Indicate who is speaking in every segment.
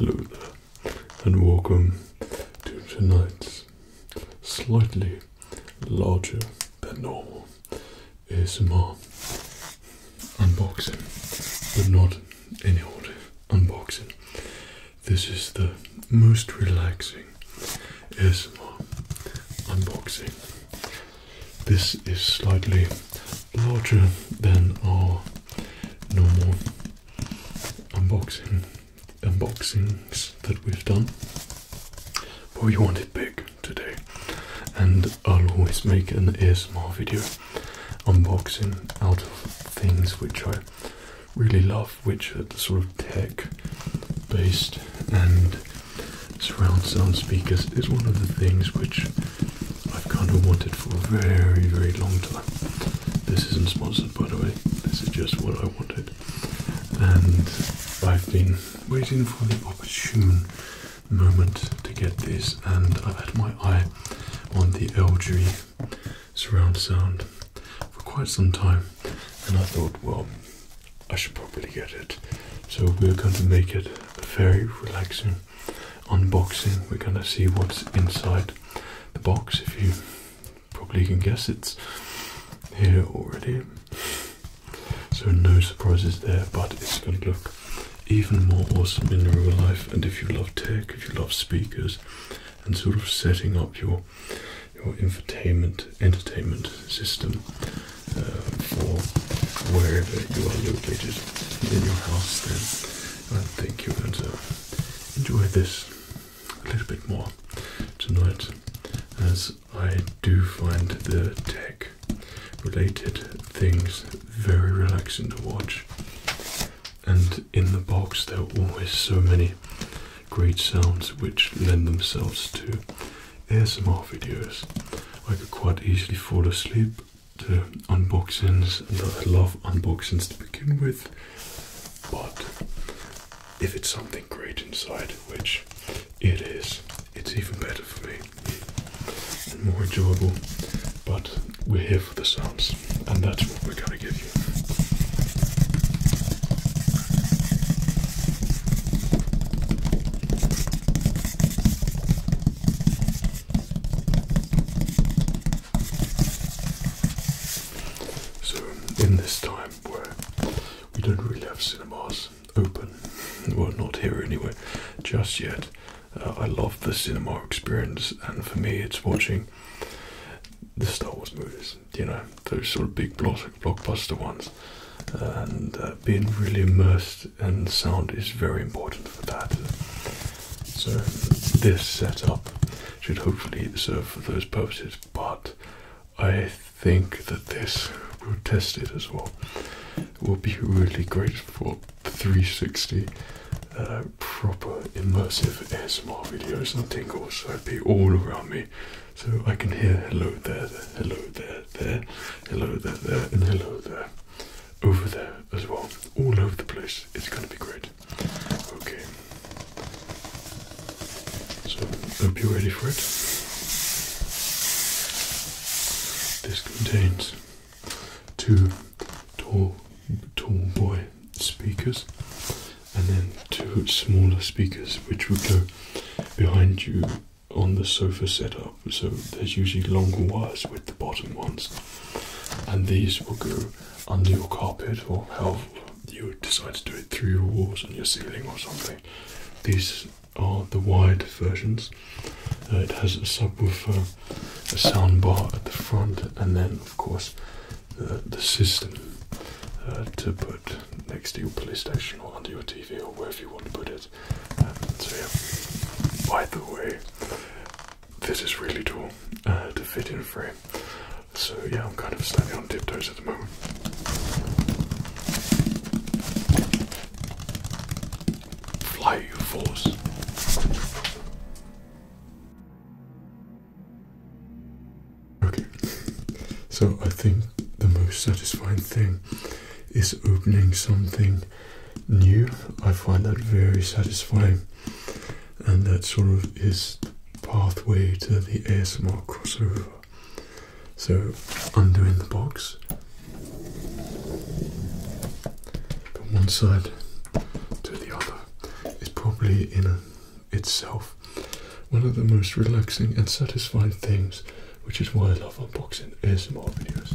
Speaker 1: Hello and welcome to tonight's slightly larger than normal ASMR unboxing, but not any old unboxing. This is the most relaxing ASMR unboxing. This is slightly larger than our normal unboxing unboxings that we've done, but we want it big today, and I'll always make an ASMR video unboxing out of things which I really love, which are sort of tech based and surround sound speakers is one of the things which I've kind of wanted for a very, very long time. This isn't sponsored, by the way. This is just what I wanted, and I've been waiting for the opportunity moment to get this, and I've had my eye on the LG surround sound for quite some time, and I thought, well, I should probably get it. So we're going to make it a very relaxing unboxing. We're going to see what's inside the box. If you probably can guess, it's here already. So no surprises there, but it's going to look even more awesome in real life. And if you love tech, if you love speakers, and sort of setting up your your infotainment entertainment system uh, for wherever you are located in your house, then I think you're going to enjoy this a little bit more tonight as I do find the tech related things very relaxing to watch. And in the box, there are always so many great sounds which lend themselves to ASMR videos. I could quite easily fall asleep to unboxings, I love unboxings to begin with, but if it's something great inside, which it is, it's even better for me more enjoyable. But we're here for the sounds, and that's what we're going to give you. So, in this time where we don't really have cinemas open. Well, not here anyway, just yet. Uh, I love the cinema experience, and for me, it's watching the Star Wars movies, you know, those sort of big blockbuster ones. And uh, being really immersed in sound is very important for that. So, this setup should hopefully serve for those purposes, but I think that this will test it as well will be really great for 360 uh, proper immersive ASMR videos and tingles. So I'd be all around me. So I can hear hello there, hello there, there, hello there, there, and hello there. Over there as well. All over the place. It's going to be great. Okay. So, hope you're ready for it. This contains two tall, tall boy speakers and then two smaller speakers which would go behind you on the sofa setup. So there's usually longer wires with the bottom ones, and these will go under your carpet or however you decide to do it through your walls and your ceiling or something. These are the wide versions. Uh, it has a subwoofer, a sound bar at the front, and then, of course, the, system uh, to put next to your PlayStation or under your TV or wherever you want to put it. Um, so, yeah, by the way, this is really tall uh, to fit in a frame. So, yeah, I'm kind of standing on tiptoes at the moment. Fly, you fools. Okay, so I think the most satisfying thing is opening something new. I find that very satisfying, and that sort of is pathway to the ASMR crossover. So, undoing the box from one side to the other is probably in itself one of the most relaxing and satisfying things, which is why I love unboxing ASMR videos.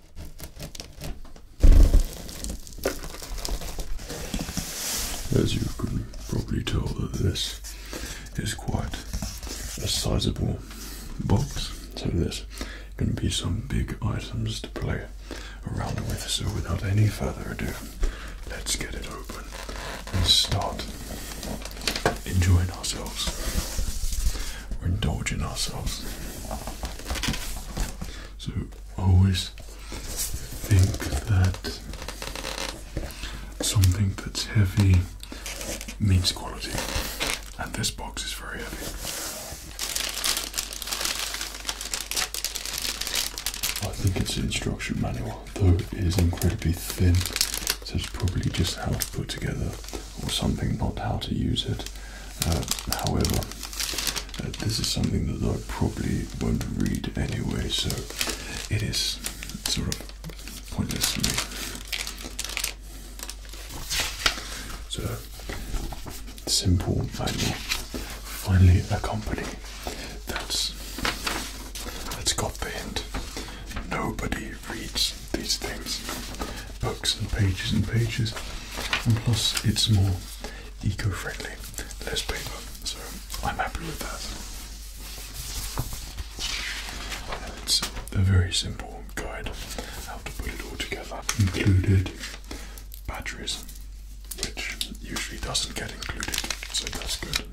Speaker 1: As you can probably tell this is quite a sizable box. So there's going to be some big items to play around with. So without any further ado, let's get it open and start enjoying ourselves we're indulging ourselves. So always think that something that's heavy means quality, and this box is very heavy. I think it's an instruction manual, though it is incredibly thin, so it's probably just how it's put together or something, not how to use it. Uh, however, uh, this is something that I probably won't read anyway, so it is sort of pointless to me. So, simple manual, finally a company that's that's got the hint. Nobody reads these things books and pages and pages, and plus it's more eco friendly, less paper. So I'm happy with that. It's a very simple guide how to put it all together, included batteries, which usually doesn't get included, so that's good.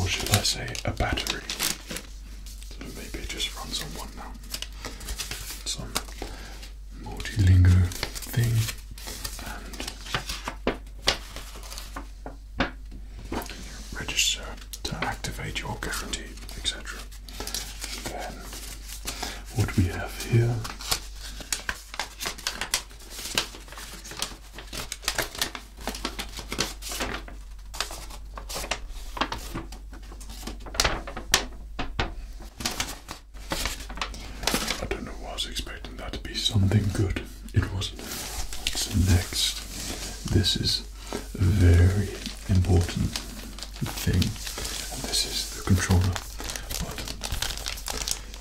Speaker 1: Or should I say a battery? So maybe it just runs on one now. Some multilingual thing and register to activate your guarantee, etc. what we have here I don't know I was expecting that to be something good. It wasn't. What's next, this is a very important thing. And this is the controller. But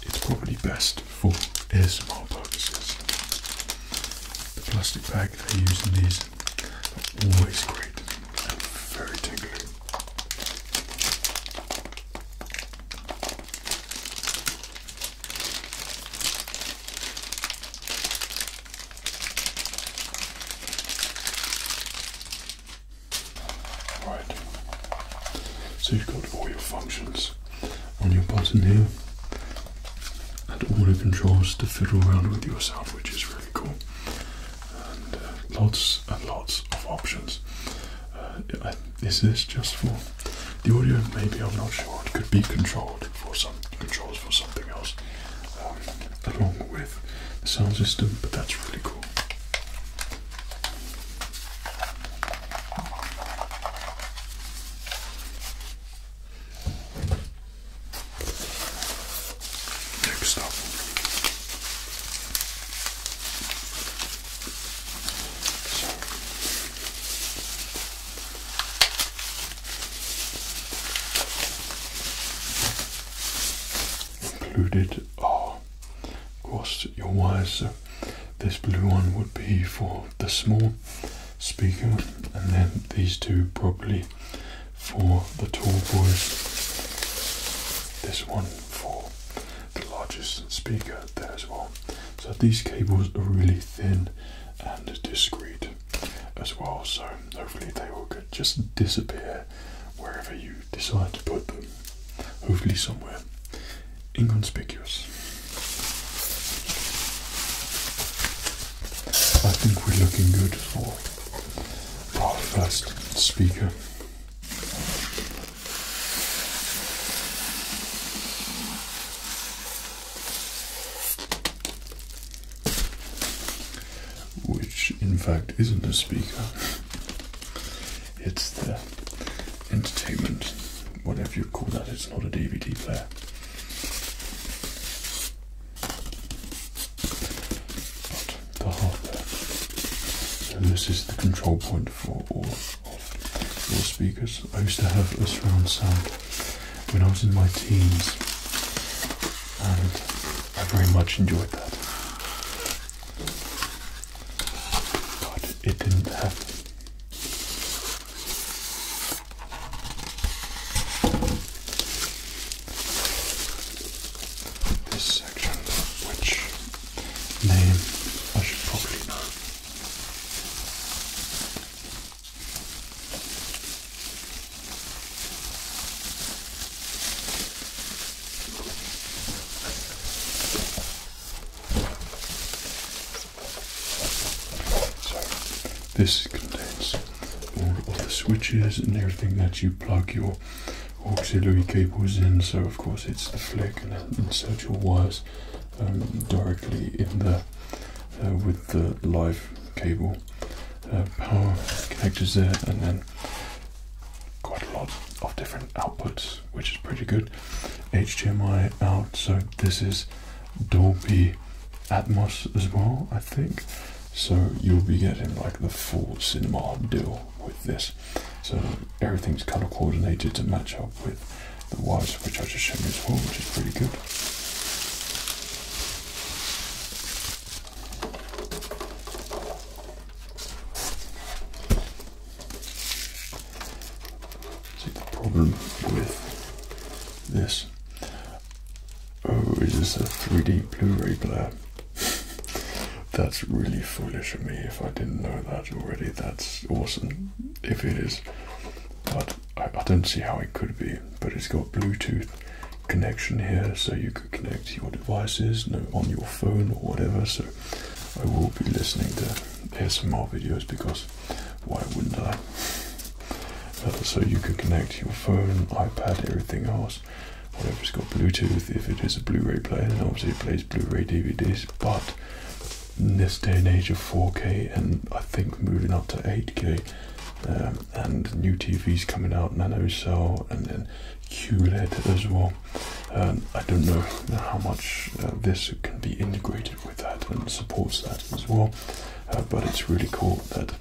Speaker 1: it's probably best for ASMR purposes. The plastic bag they use in these Always great and very tingly. Right, so you've got all your functions on your button here and all the controls to fiddle around with yourself, which is really cool. And uh, lots and lots of options. Uh, is this just for the audio? Maybe I'm not sure. It could be controlled for some controls for something else, um, along with the sound system. But that's really cool. Next up, included are, of course, your wires. This blue one would be for the small speaker, and then these two probably for the tall boys. This one for the largest speaker there as well. So these cables are really thin and discreet as well. So hopefully they will just disappear wherever you decide to put them. Hopefully somewhere inconspicuous. I think we're looking good for our first speaker. Which, in fact, isn't a speaker, it's the entertainment, whatever you call that, it's not a DVD player the hardware. And this is the control point for all of speakers. I used to have a surround sound when I was in my teens, and I very much enjoyed that. But it didn't happen this section, which name I should probably know. This contains all of the switches and everything that you plug your auxiliary cables in. So of course it's the flick and insert your wires um, directly in there uh, with the live cable uh, power connectors there and then quite a lot of different outputs which is pretty good HDMI out so this is Dolby Atmos as well, I think. So you'll be getting like the full cinema deal with this. So everything's color coordinated to match up with the wires, which I just showed you as well, which is pretty good. See the problem with this Oh, is this a 3D Blu-ray player? That's really foolish of me if I didn't know that already. That's awesome if it is. But I, don't see how it could be. But it's got Bluetooth connection here so you could connect your devices you know, on your phone or whatever. So I will be listening to ASMR videos because why wouldn't I? Uh, so you could connect your phone, iPad, everything else whatever it's got Bluetooth, if it is a Blu-ray player, then obviously it plays Blu-ray DVDs, but in this day and age of 4K and I think moving up to 8K um, and new TVs coming out, nano cell and then QLED as well. Um, I don't know how much uh, this can be integrated with that and supports that as well, uh, but it's really cool that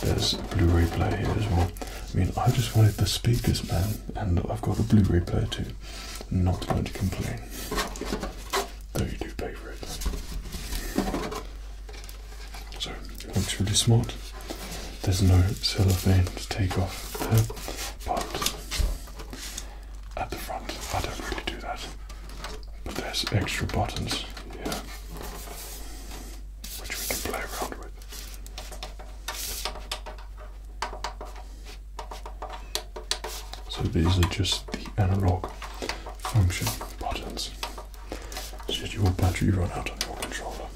Speaker 1: there's a Blu-ray player here as well. I mean, I just wanted the speakers, man, and I've got a Blu-ray player too. Not going to complain. Though you do pay for it. So it looks really smart. There's no cellophane to take off there, but at the front, I don't really do that. But there's extra buttons here which we can play around with. So these are just the analog function buttons. Should your battery run out on your controller,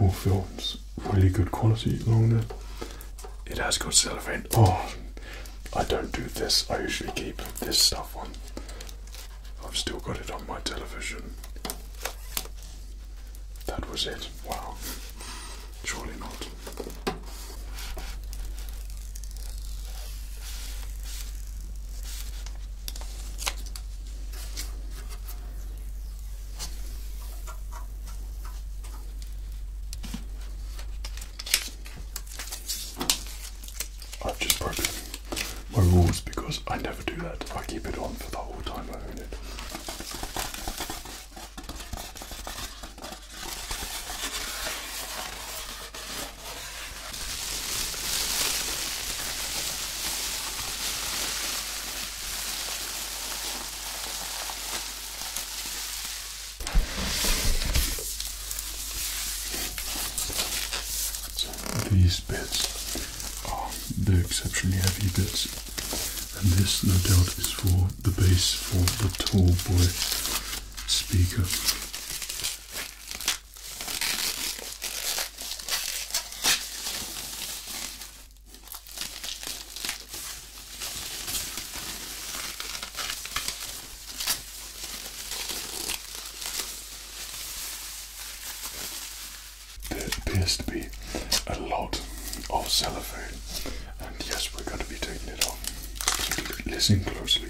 Speaker 1: all films really good quality along It has got cellophane. Oh, I don't do this. I usually keep this stuff on I've still got it on my television. That was it. Wow. Surely not. I've just broken my rules because I never do that. I keep it on for the whole time I own it these bits are the exceptionally heavy bits. And this, no doubt, is for the base for the Tallboy speaker there appears to be a lot of cellophane, and yes, we're going to be taking it off. Listen closely.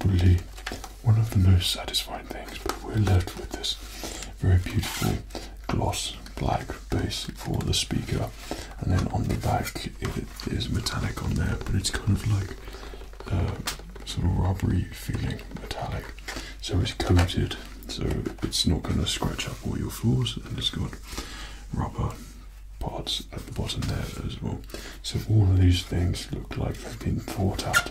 Speaker 1: Probably one of the most satisfying things, but we're left with this very beautiful gloss black base for the speaker, and then on the back it is metallic on there, but it's kind of like uh, sort of rubbery feeling, metallic. So it's coated, so it's not going to scratch up all your floors, and it's got rubber parts at the bottom there as well. So all of these things look like they've been thought out.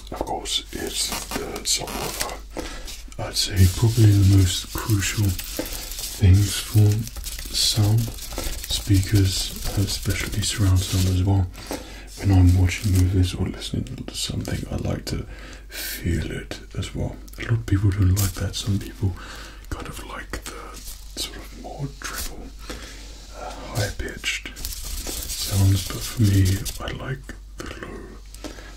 Speaker 1: of course, it's uh, some uh, I'd say, probably the most crucial things for sound speakers, uh, especially surround sound as well. When I'm watching movies or listening to something, I like to feel it as well. A lot of people don't like that. Some people kind of like the sort of more treble, uh, higher pitched sounds, but for me, I like below.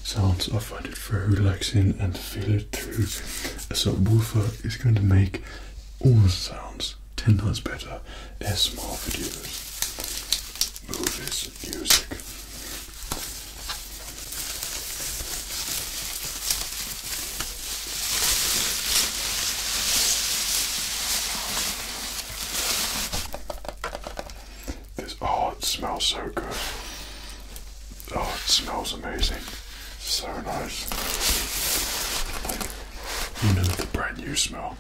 Speaker 1: Sounds I find it very relaxing and feel it through So subwoofer is going to make all sounds ten times better as more videos. Movies, music. This oh, it smells so good. Oh, it smells amazing. So nice. Like, even the brand new smell,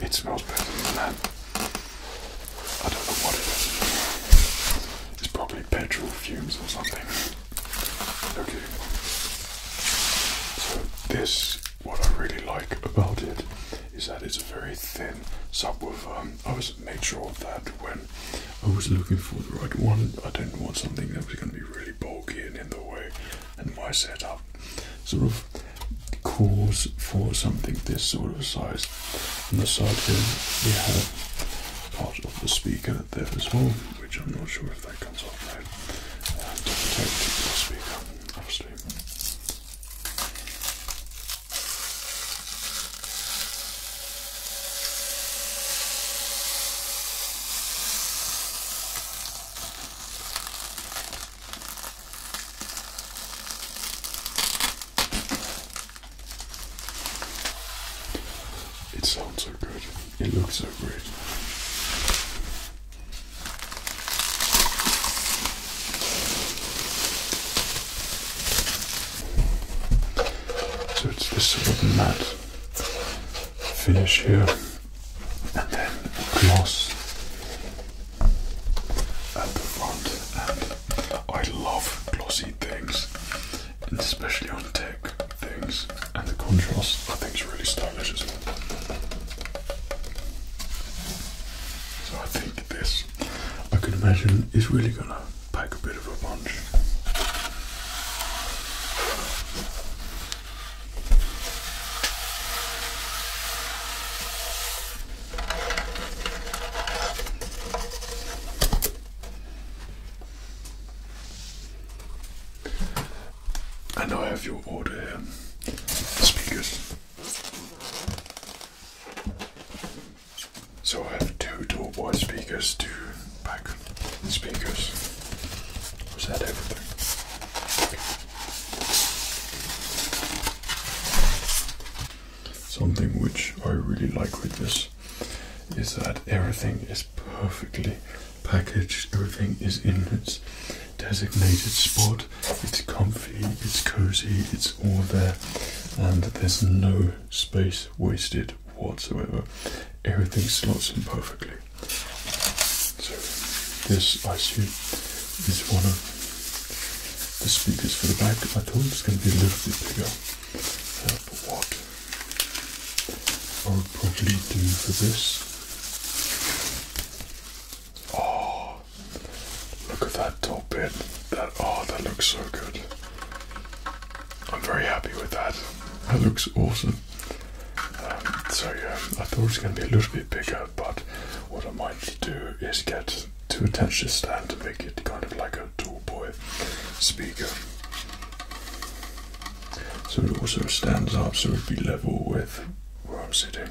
Speaker 1: it smells better than that. I don't know what it is. It's probably petrol fumes or something. Okay. So this, what I really like about it is that it's a very thin subwoofer. Um, I was made sure of that when I was looking for the right one. I didn't want something that was going to be really bulky and in the way, and my setup sort of calls for something this sort of size. On the side here, we have part of the speaker there as well, which I'm not sure if that comes off right. Uh, to protect the speaker, obviously. It sounds so good. It looks so great. So it's this sort of matte finish here, and then gloss at the front. And I love glossy things, and especially on tech things. And the contrast, I think, is really stylish as well. So I think this, I can imagine, is really going to pack a bit of a punch. And I have your order Speakers. So I have two dual wide speakers, two back speakers. Was that everything? Something which I really like with this is that everything is perfectly packaged, everything is in its designated spot it's comfy, it's cozy, it's all there, and there's no space wasted whatsoever. Everything slots in perfectly. So, this I assume is one of the speakers for the back. I told it's going to be a little bit bigger, uh, but I will probably do for this Oh, look at that top bit. That oh, that looks so good. I'm very happy with that. That looks awesome. Um, so yeah, I thought it was going to be a little bit bigger, but what I might do is get two attach this to make it kind of like a tall boy speaker. So it also stands up, so it'd be level with where I'm sitting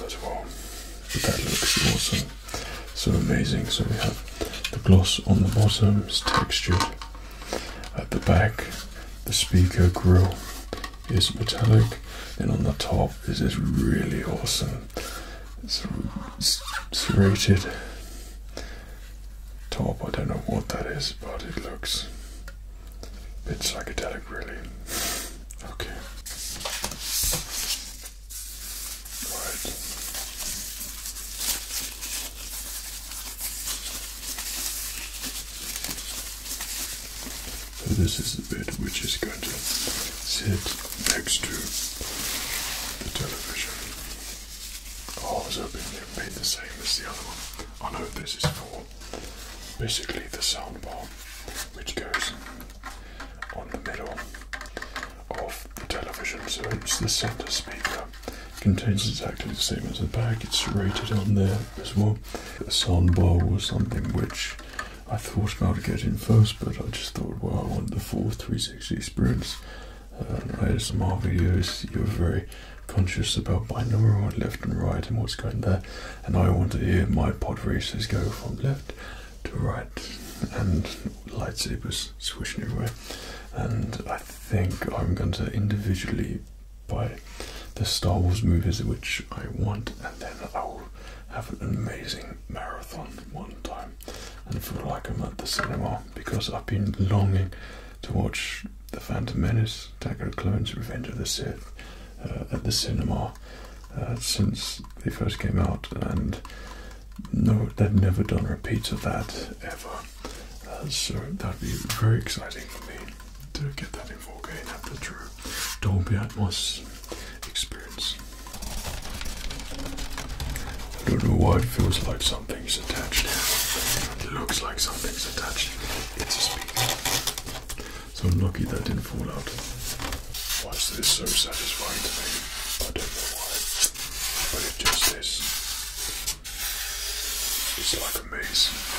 Speaker 1: That's one. that looks awesome. So amazing. So we have the gloss on the bottom, it's textured. At the back, the speaker grill is metallic. Then on the top this is really awesome serrated top. I don't know what that is, but it looks a bit psychedelic, really. Okay. So this is the bed which is going to sit next to the television. I was hoping it would be the same as the other one. I know this is for basically the sound bar which goes on the middle of the television. So it's the center speaker. Contains exactly the same as the bag. It's rated on there as well. A bar was something which I thought about getting first, but I just thought, well, I want the full 360 experience. Uh, ASMR videos, you're very conscious about my number binaural left and right and what's going there. And I want to hear my pod voices go from left to write, and lightsabers swishing everywhere. And I think I'm going to individually buy the Star Wars movies which I want, and then I'll have an amazing marathon one time and feel like I'm at the cinema because I've been longing to watch The Phantom Menace, Attack of Clones, Revenge of the Sith uh, at the cinema uh, since they first came out, and no, they've never done repeats of that ever. Uh, so that'd be very exciting for me to get that in 4K and have the true Dolby Atmos experience. I don't know why it feels like something's attached. It looks like something's attached. It's a speaker. So I'm lucky that didn't fall out. Why is this so satisfying to me? I don't know why, but it just is. It's like a maze.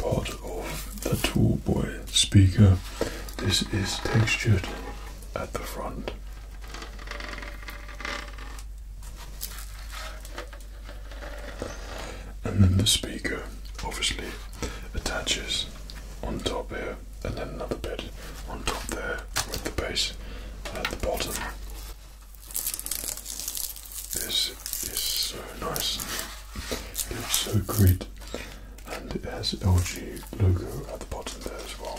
Speaker 1: Part of the Toolboy speaker. This is textured at the front and then the speaker obviously attaches on top here and then another bit on top there with the base at the bottom. This is so nice. It looks so great. And it has LG logo at the bottom there as well.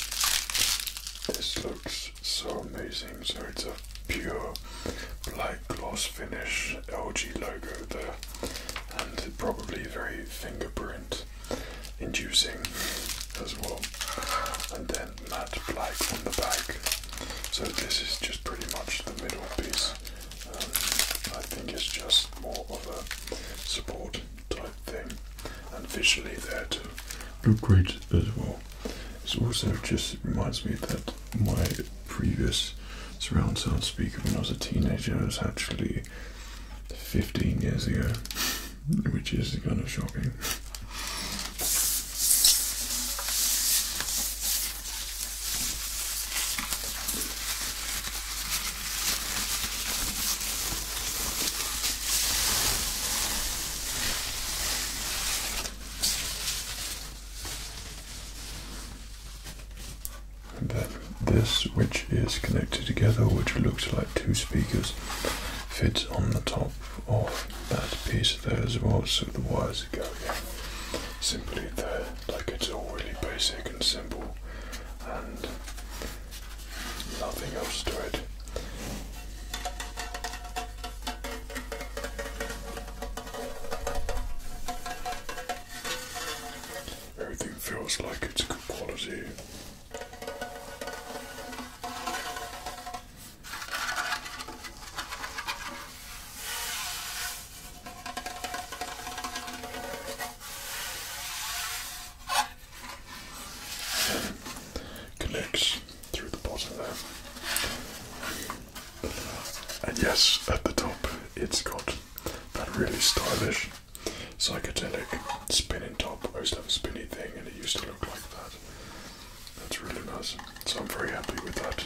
Speaker 1: This looks so amazing. So it's a pure black gloss finish LG logo there, and probably very fingerprint inducing as well. And then matte black on the back. So this is just pretty much the middle piece. Um, I think it's just more of a support type thing, and visually there too look great as well. It's also just reminds me that my previous surround sound speaker when I was a teenager was actually 15 years ago, which is kind of shocking. But this, which is connected together, which looks like two speakers, fits on the top of that piece there as well, so the wires go yeah, simply there, like it's all really basic and simple, and nothing else to it. Everything feels like it's good quality connects through the bottom there. And yes, at the top it's got that really stylish psychedelic spinning top. I used to have a spinny thing and it used to look like that. That's really nice. So I'm very happy with that.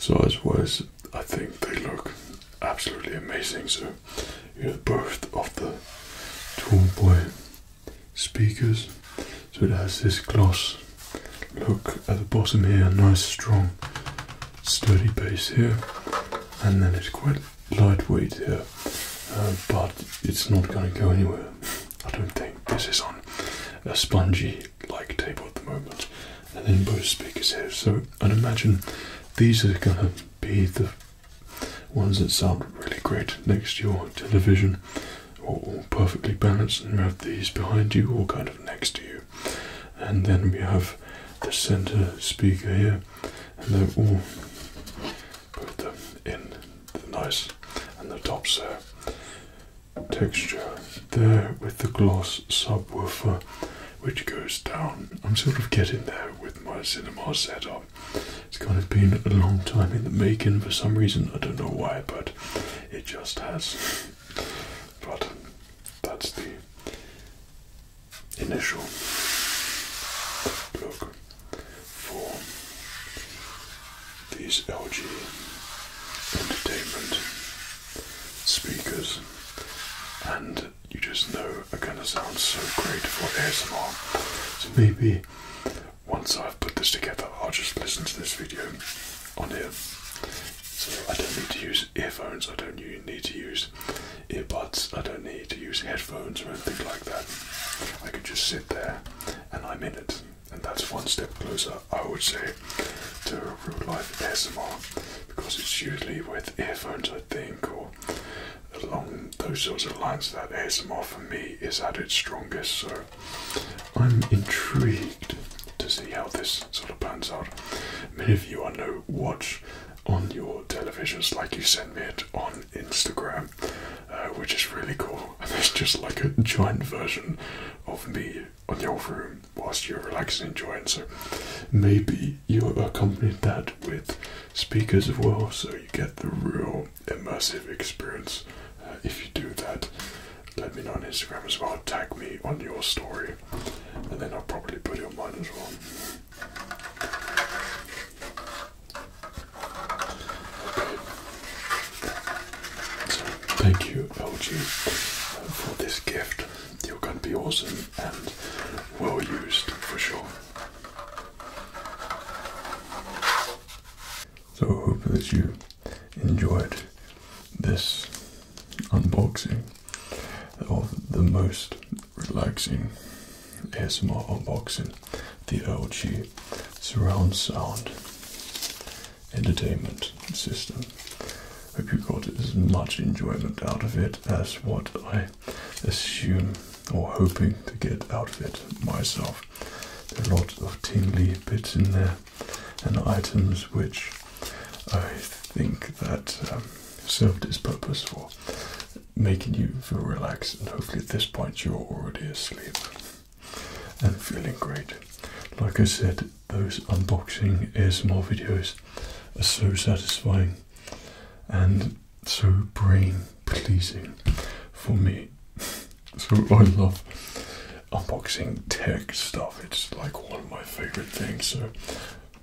Speaker 1: So as was, I think they look absolutely amazing. So you are the birth of the Tomboy speakers. So it has this gloss look at the bottom here, nice strong sturdy base here, and then it's quite lightweight here, uh, but it's not going to go anywhere. I don't think this is on a spongy like table at the moment, and then both speakers here. So I'd imagine these are going to be the ones that sound really great next to your television or perfectly balanced and you have these behind you or kind of next to you and then we have the center speaker here and then are all put them in the nice and the top there texture there with the gloss subwoofer which goes down. I'm sort of getting there with my cinema setup. It's kind of been a long time in the making for some reason. I don't know why, but it just has. But that's the initial look for these LG entertainment speakers and you just know are going to sound so great for ASMR so maybe once I've put this together, I'll just listen to this video on here. So I don't need to use earphones, I don't need to use earbuds, I don't need to use headphones or anything like that. I can just sit there and I'm in it. And that's one step closer, I would say, to real life ASMR because it's usually with earphones, I think, or along those sorts of lines that ASMR for me is at its strongest. So I'm intrigued to see how this sort of pans out. Many of you I know watch on your televisions like you send me it on Instagram, uh, which is really cool. And it's just like a giant version of me on your room whilst you're relaxing enjoying. So maybe you accompanied that with speakers as well, so you get the real immersive experience. Uh, if you do that, let me know on Instagram as well. Tag me on your story, and then I'll probably put your on mine as well. thank you, LG, uh, for this gift. You're going to be awesome and well used for sure. So hope that you enjoyed this unboxing of the most relaxing ASMR unboxing, the LG Surround Sound Entertainment System. Hope you got as much enjoyment out of it as what I assume or hoping to get out of it myself. There are a lot of tingly bits in there and items which I think that um, served its purpose for making you feel relaxed and hopefully at this point you're already asleep and feeling great. Like I said, those unboxing ASMR videos are so satisfying and so brain pleasing for me. so I love unboxing tech stuff. It's like one of my favorite things. So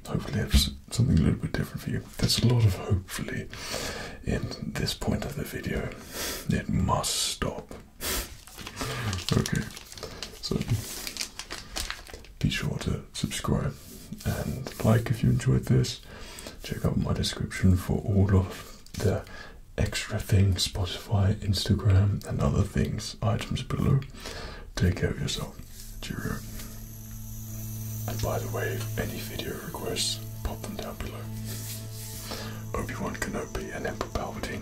Speaker 1: hopefully it's something a little bit different for you. There's a lot of hopefully in this point of the video. It must stop. okay. So be sure to subscribe and like if you enjoyed this. Check out my description for all of the extra things, Spotify, Instagram, and other things, items below. Take care of yourself. Cheerio. And by the way, any video requests, pop them down below. Obi-Wan Kenobi and Emperor Palpatine.